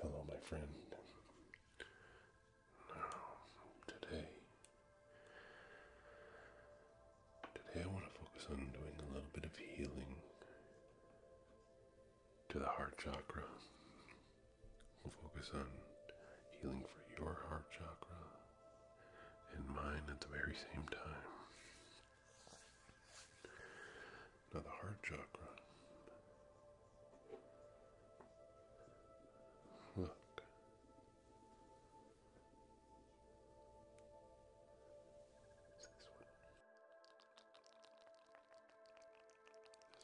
Hello, my friend. Now, today, today I want to focus on doing a little bit of healing to the heart chakra. We'll focus on healing for your heart chakra and mine at the very same time. Now, the heart chakra Look. It's this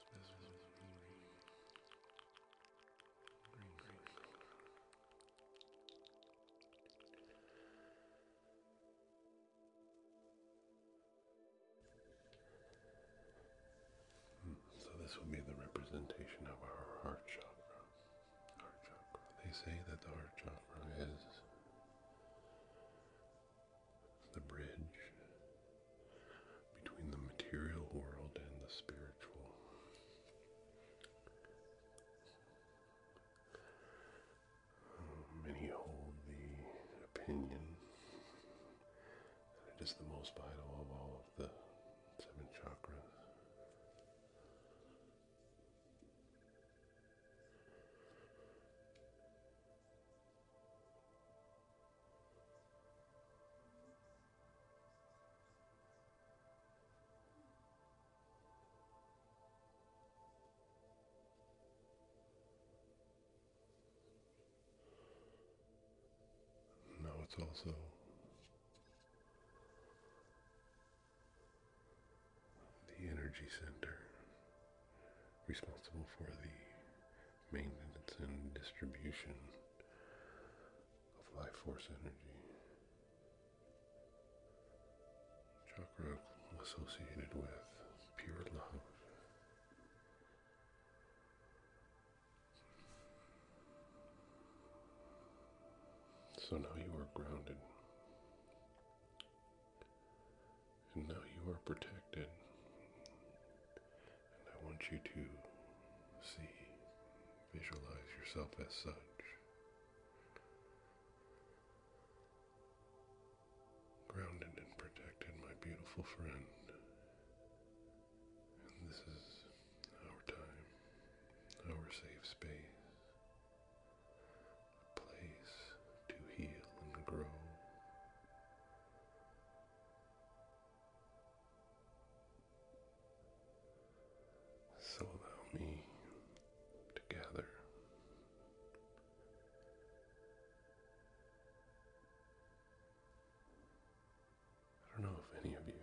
one. This, this one is green. Green, green, green. Hmm, so this will be the representation of our heart chakra. Heart chakra. They say that the heart chakra is the bridge between the material world and the spiritual. Um, many hold the opinion and it is the most vital of all of the seven chakras. Now it's also the energy center responsible for the maintenance and distribution of life force energy. Chakra associated with pure love so now you are grounded. And now you are protected. And I want you to see, visualize yourself as such grounded and protected, my beautiful friend. this is our time, our safe space, a place to heal and grow. So allow me to gather I don't know if any of you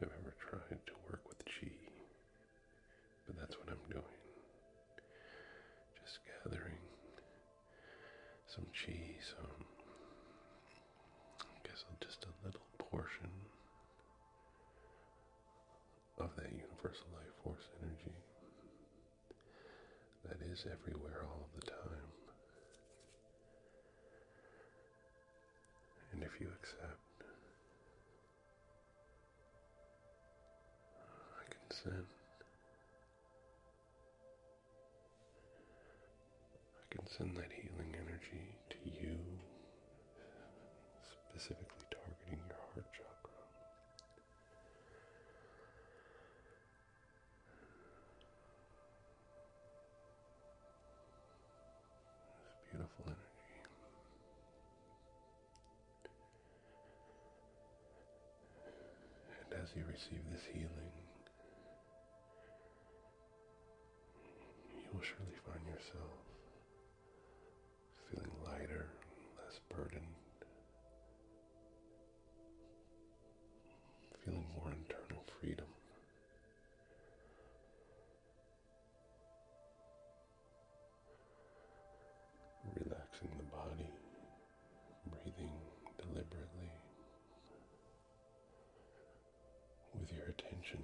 have ever tried to work with chi, but that's what I'm doing. Just gathering some chi, some, I guess just a little portion of that universal life force energy that is everywhere all of the time. And if you accept, I consent. I can send that healing energy to you specifically targeting your heart chakra. This beautiful energy. And as you receive this healing, you will surely find yourself feeling lighter, less burdened, feeling more internal freedom. Relaxing the body, breathing deliberately with your attention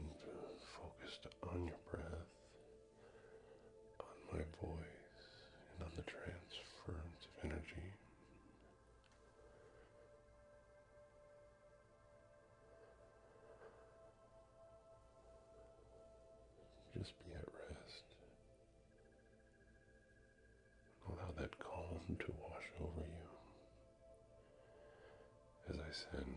focused on your breath on my voice and on the transference of energy. Just be at rest. Allow that calm to wash over you as I send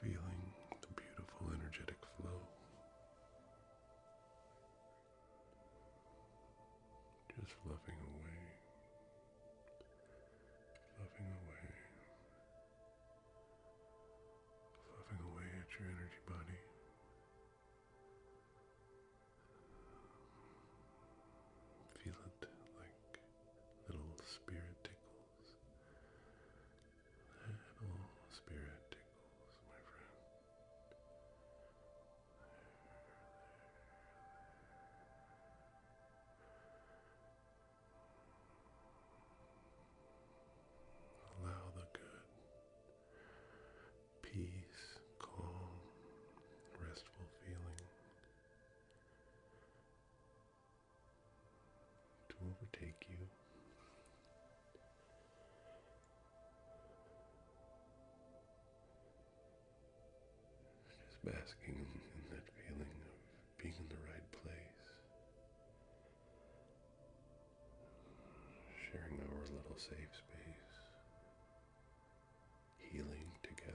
Feeling the beautiful energetic flow. Just loving away, loving away, fluffing away at your energy body. Feel it like little spirit tickles. Little spirit tickles, my friend. Allow the good, peace, calm, restful feeling to overtake you. Just basking in that feeling of being in the right place, sharing our little safe space, healing together.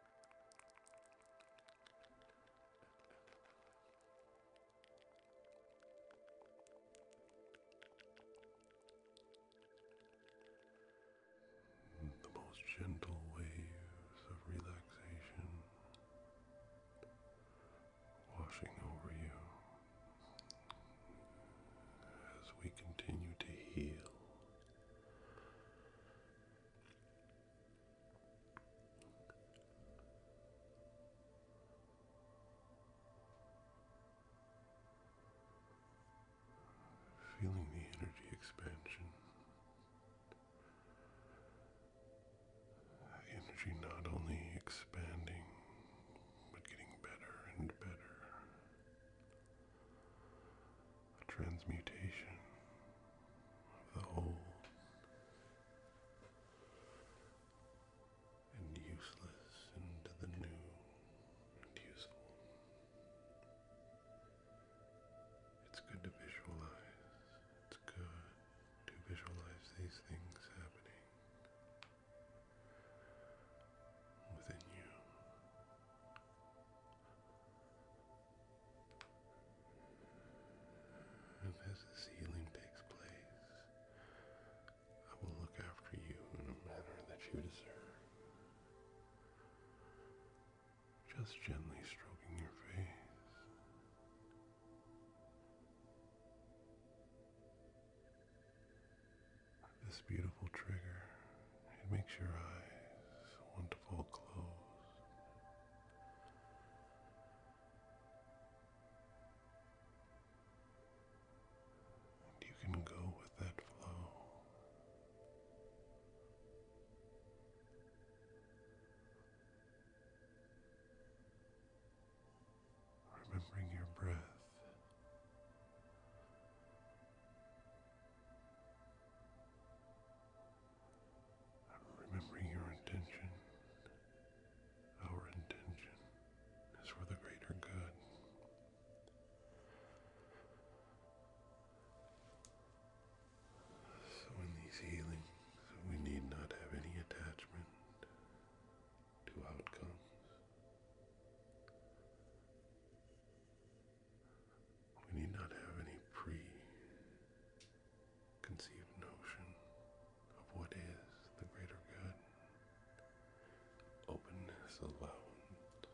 The most gentle waves of relaxation washing over you as we continue to heal Feeling the energy expansion, energy not only expanding but getting better and better a transmutation of the old and useless into the new and useful. It's good to visualize. It's good to visualize these things happening within you. As this healing takes place, I will look after you in a manner that you deserve. Just gently stroking your face. This beautiful trigger it makes your eyes want to fall close. And you can go with that flow. Remembering your breath I'm remembering your intention. Our intention is for the greater good. So, in these healings, we need not have any attachment to outcomes. We need not have any preconceived notion of what is the greater good. Openness allowance.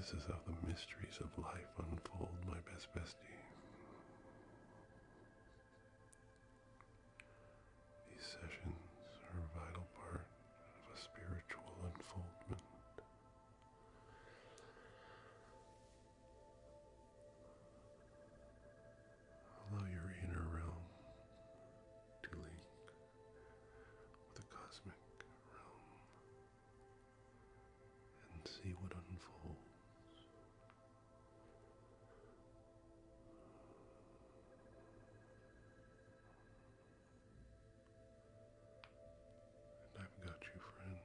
This is how the mysteries of life unfold, my best bestie. These sessions are a vital part of a spiritual unfoldment. Allow your inner realm to link with the cosmic realm and see what unfolds. And I've got you, friend.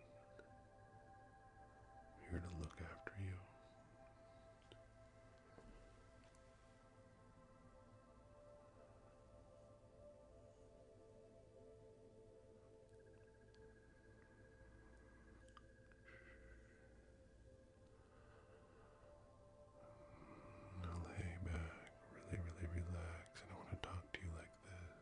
here to look after you. I'll lay back, really, really relax, and I want to talk to you like this.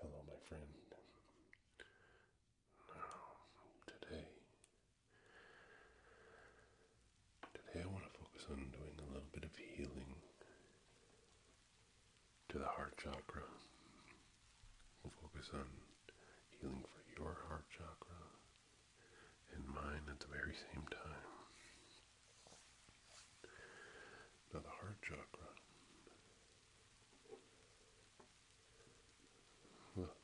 Hello, my friend. today Today I want to focus on doing a little bit of healing to the heart chakra. We'll focus on healing for your heart chakra and mine at the very same time. Now the heart chakra. Look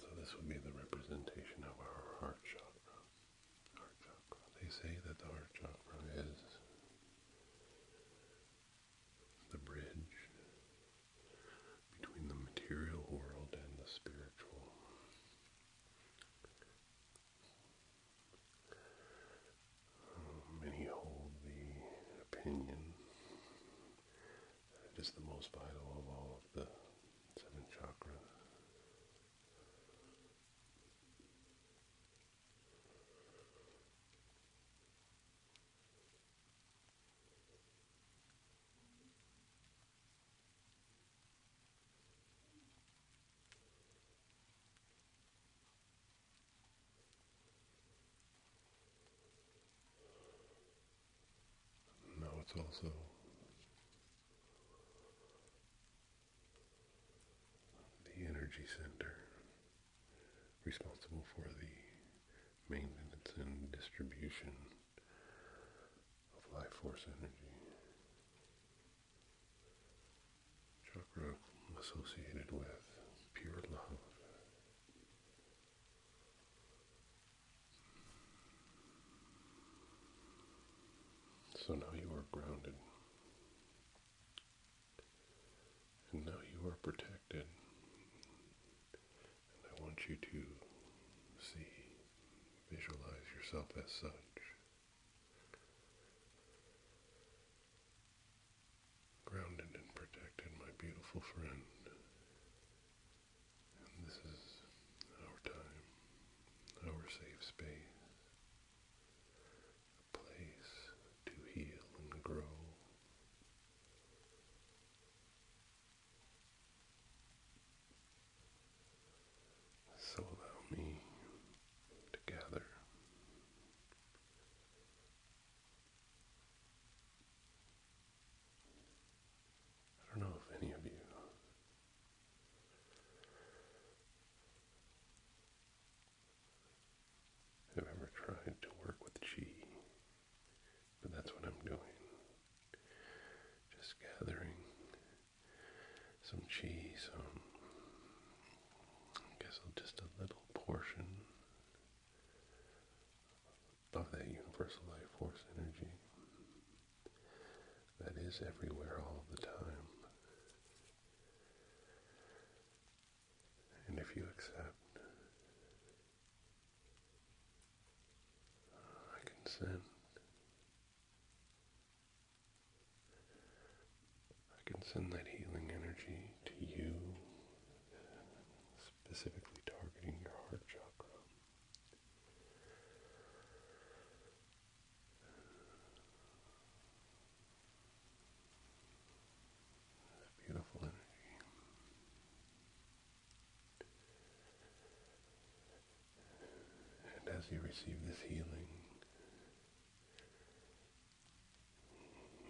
so this would be the representation of our Heart chakra. They say that the heart chakra is the bridge between the material world and the spiritual. Many hold the opinion that it is the most vital of all of the seven chakras. Now it's also the energy center responsible for the maintenance and distribution of life force energy. Chakra associated with pure love. So now you are grounded and now you are protected. And I want you to see, visualize yourself as such. Grounded and protected, my beautiful friend. And this is our time, our safe space, a place to heal and grow. So allow me to gather I don't know if any of you i have ever tried to work with chi. But that's what I'm doing. Just gathering some cheese. some, um, I guess just a little portion of that universal life force energy that is everywhere all the time. And if you accept, I can send. I can send that healing energy to you, specifically targeting your heart chakra beautiful energy. And as you receive this healing,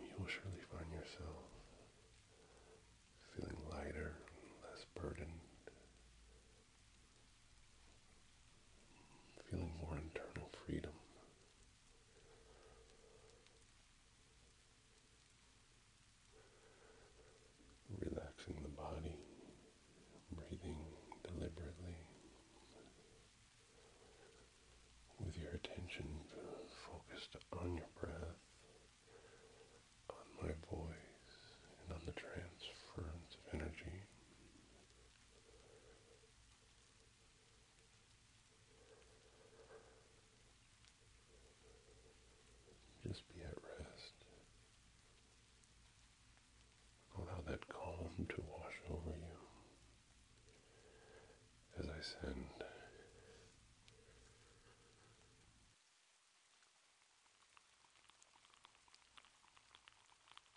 you will surely find yourself feeling lighter, less burdened, feeling more internal freedom Relaxing the body, breathing deliberately with your attention focused on your breath, on my voice, and on the transference of energy just be at rest. Allow that calm to wash over you as I send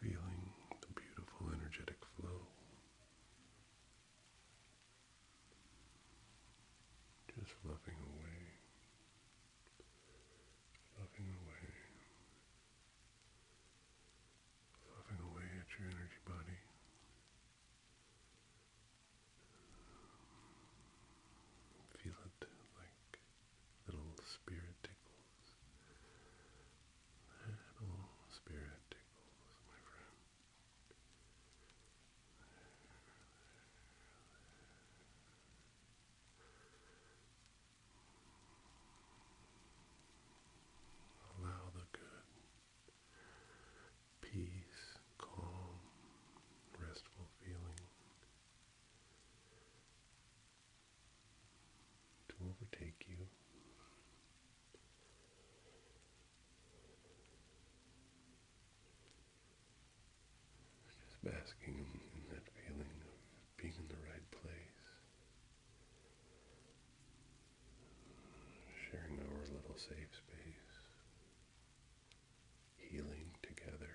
Feeling the beautiful energetic flow. Just loving away, loving away, loving away at your energy body. Feel it like little spirit tickles. Little spirit tickles, my friend. Allow the good, peace, calm, restful feeling to overtake you. Just basking in that feeling of being in the right place, sharing our little safe space, healing together.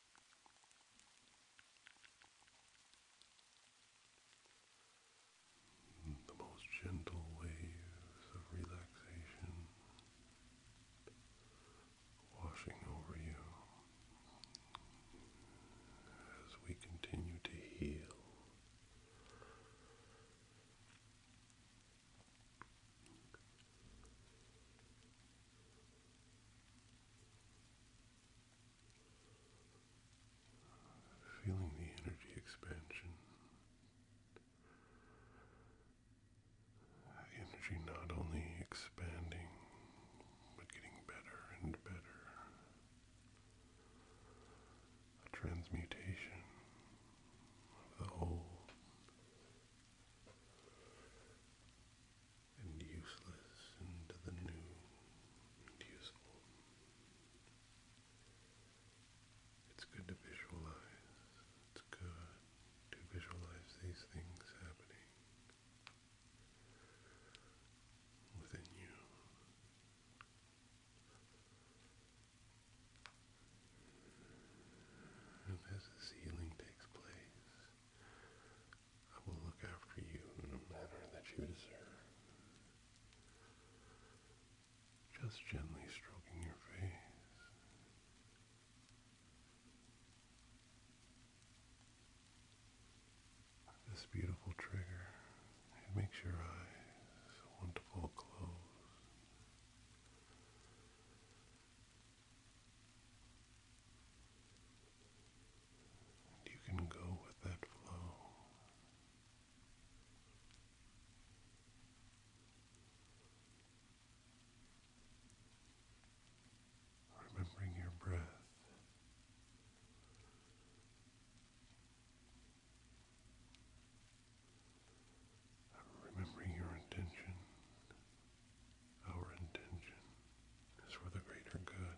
The most gentle waves of relaxation washing over you as we continue to heal. Feeling the energy expansion. Energy not only expanding, but getting better and better. A transmutation of the whole and useless into the new and useful. It's good to visualize. It's good to visualize these things happening within you. And as this healing takes place, I will look after you in a manner that you deserve. Just gently stroking your face. This beautiful trigger, it makes your eyes want to fall closed you can go with that flow. Remembering your breath. Remembering your intention. Our intention is for the greater good.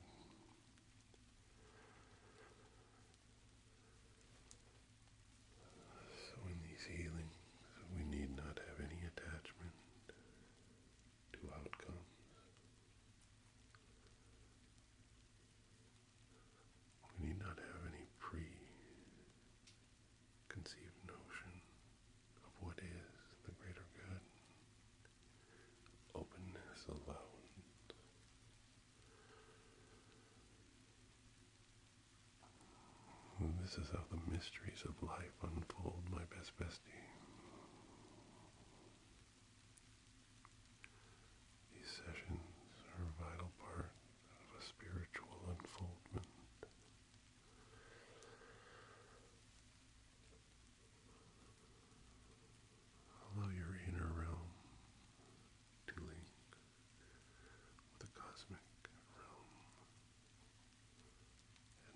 So in these healings, we need not have any attachment to outcomes. We need not have any pre-conceived notion of what is the greater good openness alone. This is how the mysteries of life unfold, my best bestie. These sessions are a vital part of a spiritual unfoldment. Allow your inner realm to link with the cosmic realm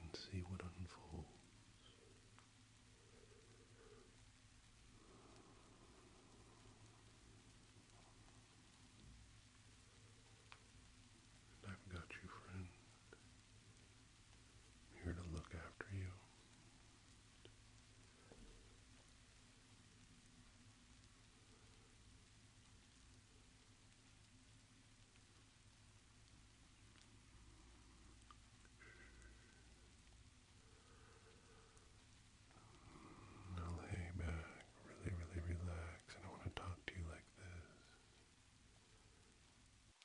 and see what unfolds. I've got you, friend. I'm here to look after you. lay back, really, really relax, and I want to talk to you like this.